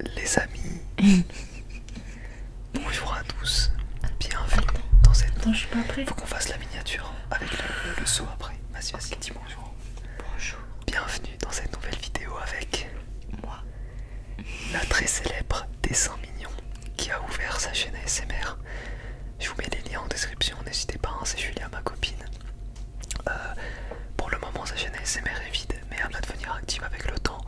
Les amis, bonjour à tous, bienvenue dans cette. je Faut qu'on fasse la miniature avec le, saut après. Vas-y, vas-y, dis bonjour. Bonjour. Bienvenue dans cette nouvelle vidéo avec. Moi. La très célèbre des Dessin Mignon qui a ouvert sa chaîne ASMR. Je vous mets les liens en description, n'hésitez pas, à hein, c'est Julia, ma copine. Euh, pour le moment, sa chaîne ASMR est vide, mais elle va devenir active avec le temps.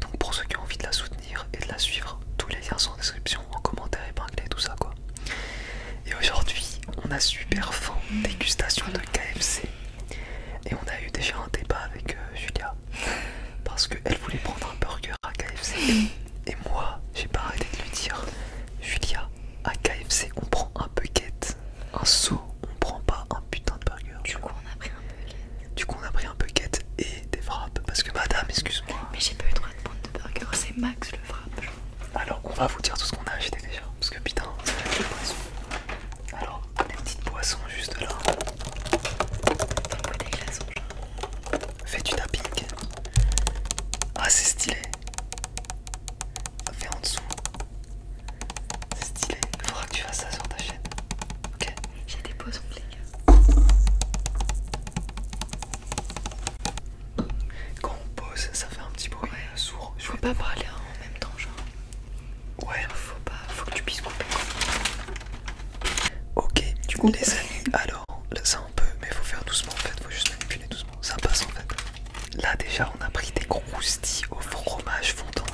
Donc, pour ceux qui ont envie de la soutenir et de la suivre, tous les liens sont en description, en commentaire et épinglé, tout ça quoi. Et aujourd'hui, on a super faim, dégustation de KFC. Et on a eu déjà un débat avec euh, Julia parce qu'elle voulait prendre un burger à KFC. Et moi, j'ai pas arrêté de lui dire Julia, à KFC on prend un bucket, un seau, on prend pas un putain de burger. Du coup on a pris un bucket. Du coup on a pris un bucket et des frappes parce que madame excuse-moi. Mais j'ai pas eu le droit de prendre de burger, c'est max le frappe. Alors on va vous dire tout ce qu'on a acheté déjà parce que putain des poisson Alors des petites boissons juste là. Faites Fais du tapping. Ah c'est stylé. Ah, fais en dessous. C'est stylé. Il faudra que tu fasses ça sur ta chaîne. Ok J'ai des pauses en ligne. Quand on pose, ça fait un petit bruit ouais. sourd. Je peux pas parler hein, en même temps, genre. Ouais, faut pas. Faut que tu puisses couper. Ok, du coup, les amis, alors ça un peu, mais faut faire doucement en fait, faut juste manipuler doucement ça passe en fait. Là déjà on a pris des croustilles au fromage fondant.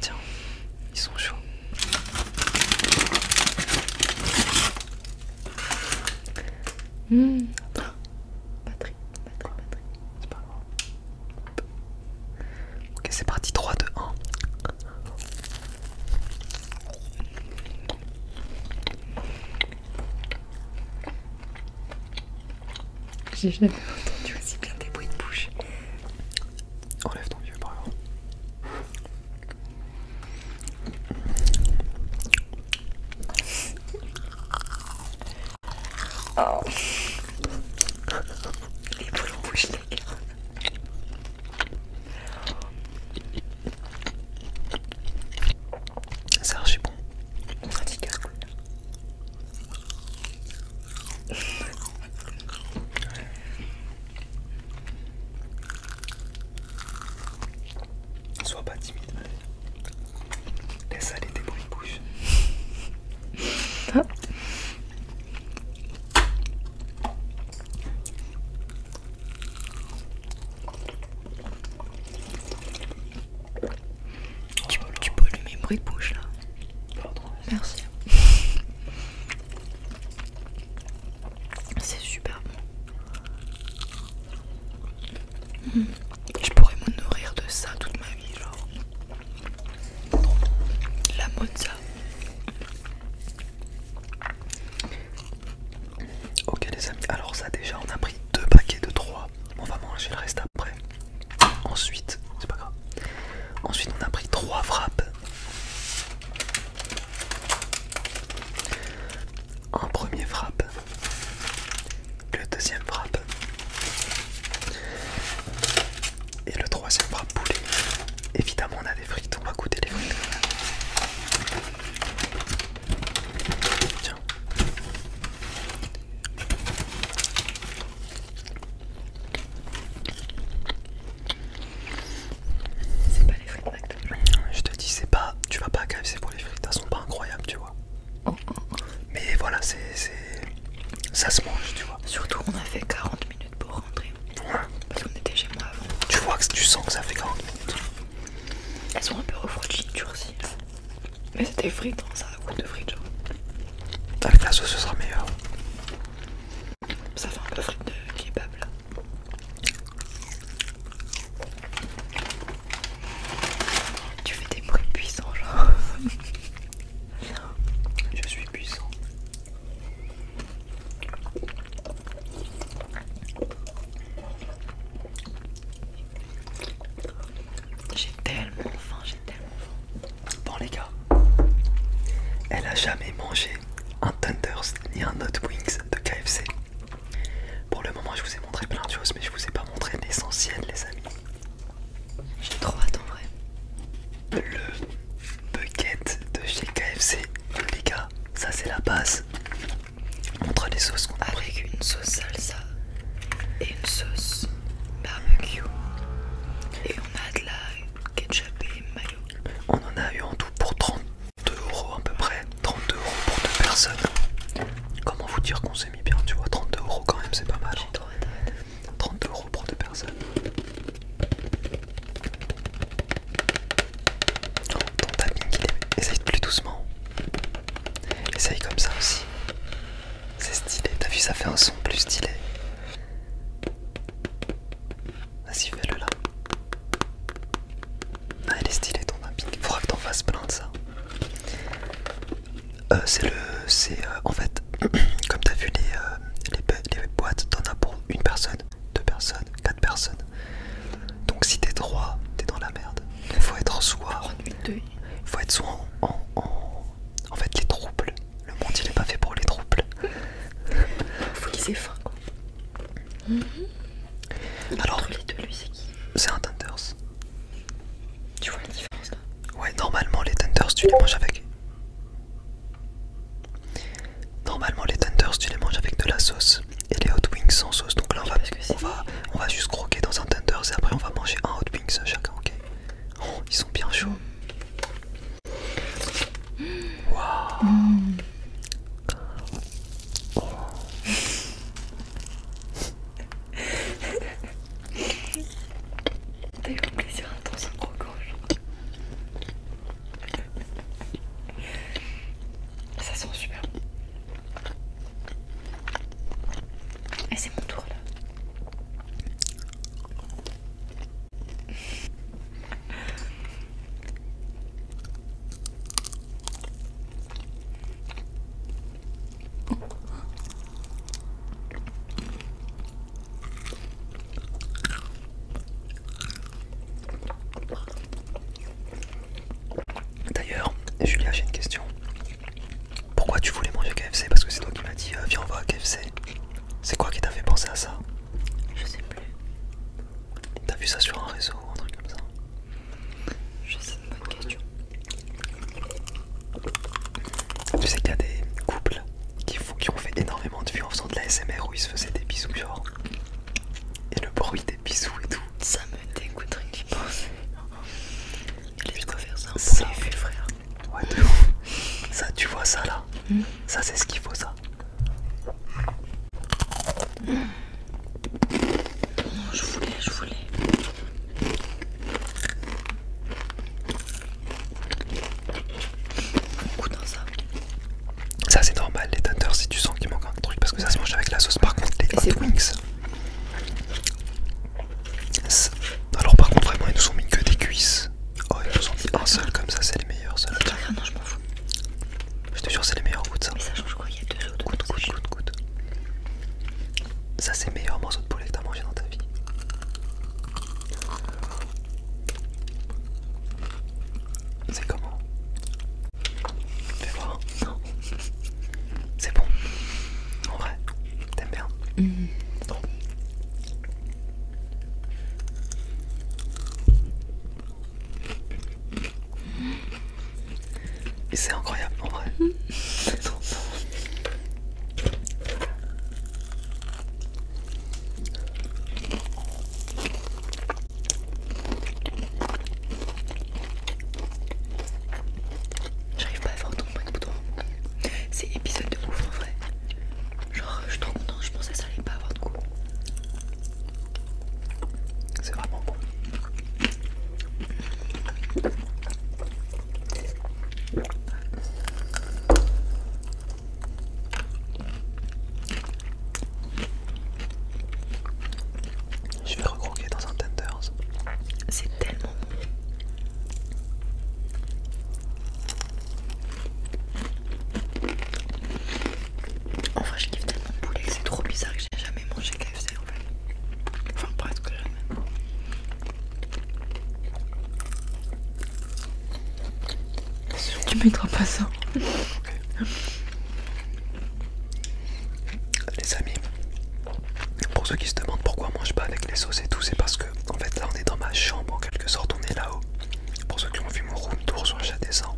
Tiens, ils sont chauds. Batterie, batterie, batterie. C'est pas loin Ok, c'est parti 3, 2, 1. J'ai jamais entendu aussi bien des bruits de bouche. Enlève ton vieux par oh. Les boules en bouche, les gars. C'est bon. On Sois pas timide. Laisse aller tes bruits bouche. Tu, peux pollues mes bruits de bouche là. Merci. C'est super bon. Je pourrais me nourrir de ça toute ma vie, genre. La mozza. Ok les amis, alors ça déjà on a pris deux paquets de trois. On va manger le reste après. Ensuite, c'est pas grave. Ensuite on a pris trois frappes. Un premier frappe. Le deuxième frappe. Et le troisième va poulet. Évidemment, on a des frites, on va goûter les frites. Tiens. C'est pas les frites Je te dis, c'est pas, tu vas pas à c'est pour les frites, elles sont pas incroyables, tu vois. Oh, oh, oh. Mais voilà, c'est, ça se mange, tu vois. Surtout, on a fait 40 minutes pour rentrer. Parce qu'on était chez moi avant. Tu vois que tu sens que ça fait quand Elles sont un peu refroidies, durcies. Mais c'était frites, hein, ça a goût de frites. Avec la sauce, ce sera meilleur. Ça fait un peu frites de kebab là. Tu fais des bruits puissants, genre. Je suis puissant. J'ai tellement faim, j'ai tellement faim. Bon les gars, elle a jamais mangé un Thunders ni un Hot Wings de KFC. Pour le moment, je vous ai montré plein de choses, mais je vous ai pas montré l'essentiel, les amis. J'ai trop hâte en vrai. Le bucket de chez KFC, les gars, ça c'est la base. prend les sauces qu'on a une sauce salsa et une sauce barbecue. Et on a de la ketchup et mayo. On en a eu en tout pour 32 euros à peu près. 32 euros pour deux personnes. Comment vous dire qu'on s'est mis bien, tu vois, 32 euros quand même, c'est pas mal. J'ai hein. 32€ euros pour deux personnes. Oh, ton tapping, essaye plus doucement. Essaye comme ça aussi. C'est stylé, t'as vu, ça fait un son plus stylé. Vas-y, fais-le là. Ah, il est stylé ton tapping. Faudra que t'en fasses plein de ça. Euh, c'est le c'est euh, en fait comme t'as vu euh, les, boîtes t'en as pour une personne deux personnes quatre personnes donc si t'es droit t'es dans la merde Il faut être soit faut être soit en, en, fait les troubles le monde il est pas fait pour les troubles faut qu'ils aient faim quoi mhm. mm-hmm. lui deux, alors c'est un Tenders. Tu vois la différence Ouais, normalement les tenders tu les manges avec. Normalement les tenders tu les manges avec de la sauce et les Hot Wings sans sauce. Donc là on va, juste croquer dans un tender et après on va manger un Hot Wings chacun, ok oh, ils sont bien chauds. T'as eu un plaisir intense en croquant. Ça sent super bon. Et c'est mon tour là. D'ailleurs, Julia, j'ai une question. Pourquoi tu voulais manger KFC Parce que c'est toi qui m'as dit euh, viens on va à KFC. C'est quoi qui t'a fait penser à ça Je sais plus. T'as vu ça sur un réseau ou un truc comme ça je sais question. Tu sais qu'il y a des couples qui, ont fait énormément de vues en faisant de la SMR où ils se faisaient des bisous, genre. Et le bruit des bisous et tout. Ça me dégoûterait que j'y pense. laisse quoi faire ça, ça C'est frère. Ouais, de ouf. Ça, tu vois ça là. Hmm? Ça, c'est ce qu'il faut, ça. Non, Je voulais, je voulais. Bon dans ça. Ça c'est normal les tenders si tu sens qu'il manque un truc parce que ça se mange avec la sauce par contre les hot wings. Alors par contre vraiment ils nous ont mis que des cuisses. Oh ils nous ont mis un seul comme ça c'est les meilleurs Non je m'en fous. Je te jure, c'est les meilleurs goûts de ça. Mais ça change quoi Il y a deux autres. Goûte, goûte, goûte, goûte. Ça, c'est le meilleur morceau de poulet que t'as mangé dans ta vie. C'est comment Fais voir. Non. C'est bon. En vrai, t'aimes bien. Non. Mm c'est incroyable en vrai. J'arrive pas à faire autant tomber de bouton. C'est épisode de ouf en vrai. Genre, je suis trop contente, je pensais que ça allait pas avoir de goût. C'est vraiment bon. Je vais recroquer dans un tenders. C'est tellement bon. Enfin, vrai, je kiffe tellement le poulet c'est trop bizarre que j'ai jamais mangé KFC en fait. Enfin, presque jamais. Tu mettras pas ça. Les amis, pour ceux qui se demandent pourquoi on mange pas avec les sauces et tout, c'est parce que en fait là on est dans ma chambre en quelque sorte, on est là-haut. Pour ceux qui ont vu mon room tour sur des 100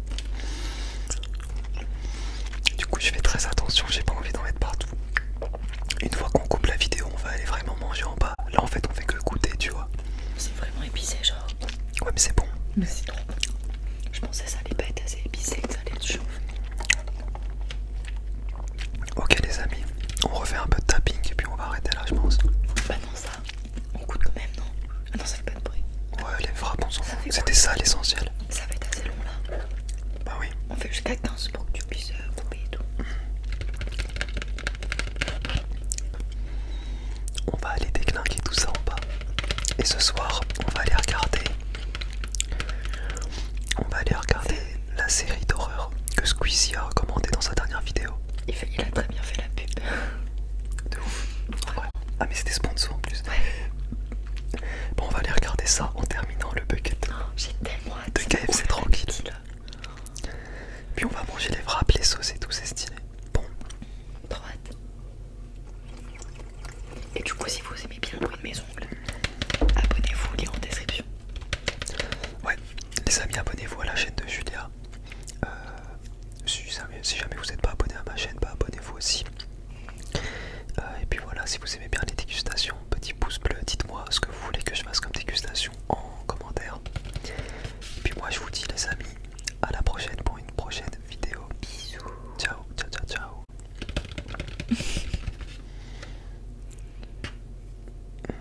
Du coup je fais très attention, j'ai pas envie d'en mettre partout. Une fois qu'on coupe la vidéo, on va aller vraiment manger en bas. Là en fait on fait que goûter, tu vois. C'est vraiment épicé genre. Ouais mais c'est bon. Mais c'est Je pensais ça allait pas être assez épicé, que ça allait être chaud. Ok les amis, on refait un peu de tapping et puis on va arrêter là je pense. Bah non ça. On coûte quand même, non Ah non, ça fait pas de bruit. Ouais, les frappes, on s'en fout. C'était ça l'essentiel. Ça va être assez long là. Bah oui. On fait jusqu'à 15 pour que tu puisses euh, couper et tout. On va aller déclinquer tout ça en bas. Et ce soir, on va aller regarder. On va aller regarder la série d'horreur que Squeezie a recommandée dans sa dernière vidéo. il a très bien fait la pub. De ouf. Ah mais c'était sponsor en plus. Ouais. Bon on va aller regarder ça en terminant le bucket. Oh, j'ai tellement hâte. De tranquille. Puis on va manger les frappes, les sauces et tout, c'est stylé. Bon. Droite. Et du coup si vous aimez bien le bruit de mes ongles, abonnez-vous, lien en description. Ouais, les amis abonnez-vous à la chaîne de Julia. Euh, si, jamais vous n'êtes pas abonné à ma chaîne, bah, abonnez-vous aussi. Euh, et puis voilà, si vous aimez bien les dégustations, petit pouce bleu, dites-moi ce que vous voulez que je fasse comme dégustation en commentaire. Et puis moi je vous dis les amis, à la prochaine pour une prochaine vidéo. Bisous. Ciao, ciao, ciao, ciao.